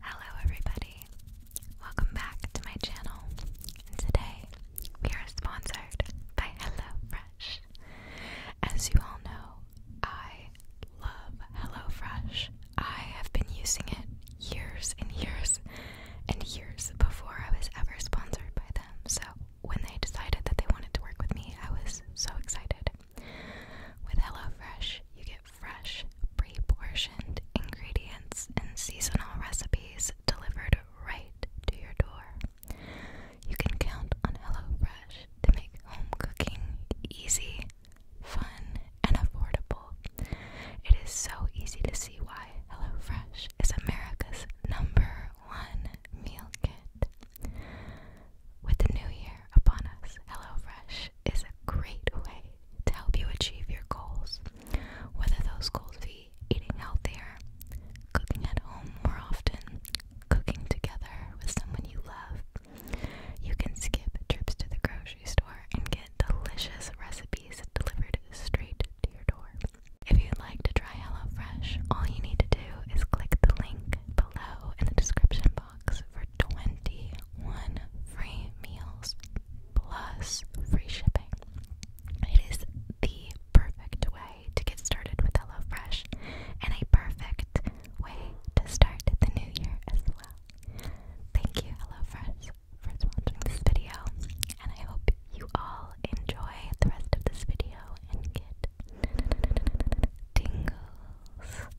Hello everybody, welcome back to my channel, today we are sponsored by HelloFresh. As you all know, I love HelloFresh. I have been using it years and years and years before I was ever sponsored by them, so when they decided that they wanted to work with me, I was so excited. With HelloFresh, you get fresh, pre ingredients and seasonal recipes delivered right to your door. You can count on Hello Fresh to make home cooking easy, fun, and affordable. It is so easy to see why Hello Fresh is America's number one meal kit. With the new year upon us, Hello Fresh is a great way to help you achieve your goals, whether those goals be eating healthier, cooking at home more often, cooking together with someone you love. You can skip trips to the grocery store and get delicious recipes delivered straight to your door. If you'd like to try HelloFresh, all you need to do is click the link below in the description box for 21 free meals plus free shipping. It is the perfect way to get started with HelloFresh and a perfect way to start the new year as well. Thank you, HelloFresh, for sponsoring this video, and I hope you all enjoy the rest of this video and get tingles.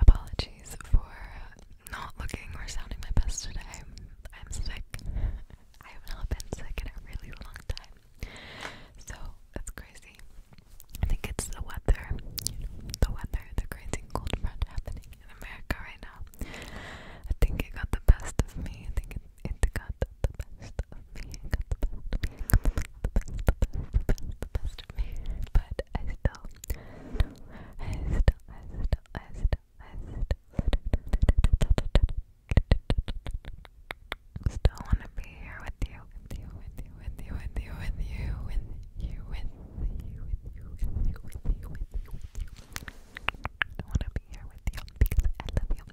Apologies for not looking or sounding my best today. I'm sick. I have not been sick in a really long time. So that's crazy. I think it's the weather, the weather, the crazy cold front happening in America right now. I think it got the best of me. I think it got the best of me. It got the best of me. the best, the best, the best, of me. But I still, I still, I still, I still, I still, still want to be here with you, with you, with you, with you, with you, with you, with you, with you, with you, with you. I want to be here with you because I love you.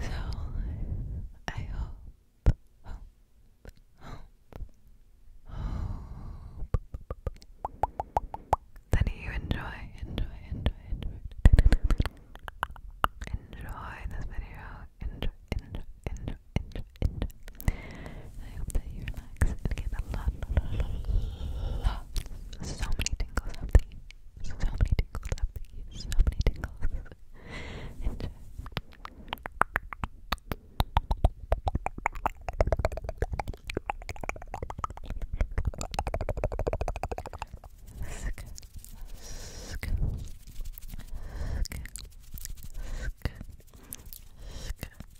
so I hope, hope, hope, hope that you enjoy, enjoy, enjoy, enjoy, enjoy this video. Enjoy, enjoy, enjoy, enjoy, enjoy, much. I hope that you relax and get a lot, lot, lot, so many tingles up the so many tingles up the so many tingles. Sk, sk, sk, sk, sk, sk,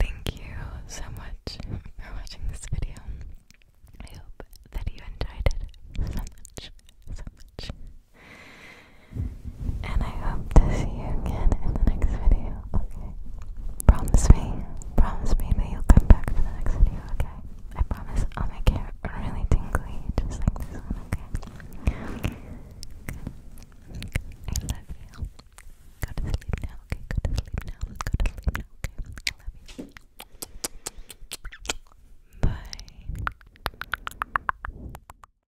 Thank you so much for watching this video. I hope that you enjoyed it so much, so much. And I hope to see you again in the next video, okay? Promise me, promise me that you'll come back for the next video, okay? I promise I'll make it really tingly, just like this one, okay? Okay. Good. I love you. Go to sleep now, okay? Go to sleep now. Go to sleep now, okay? I love you. Bye.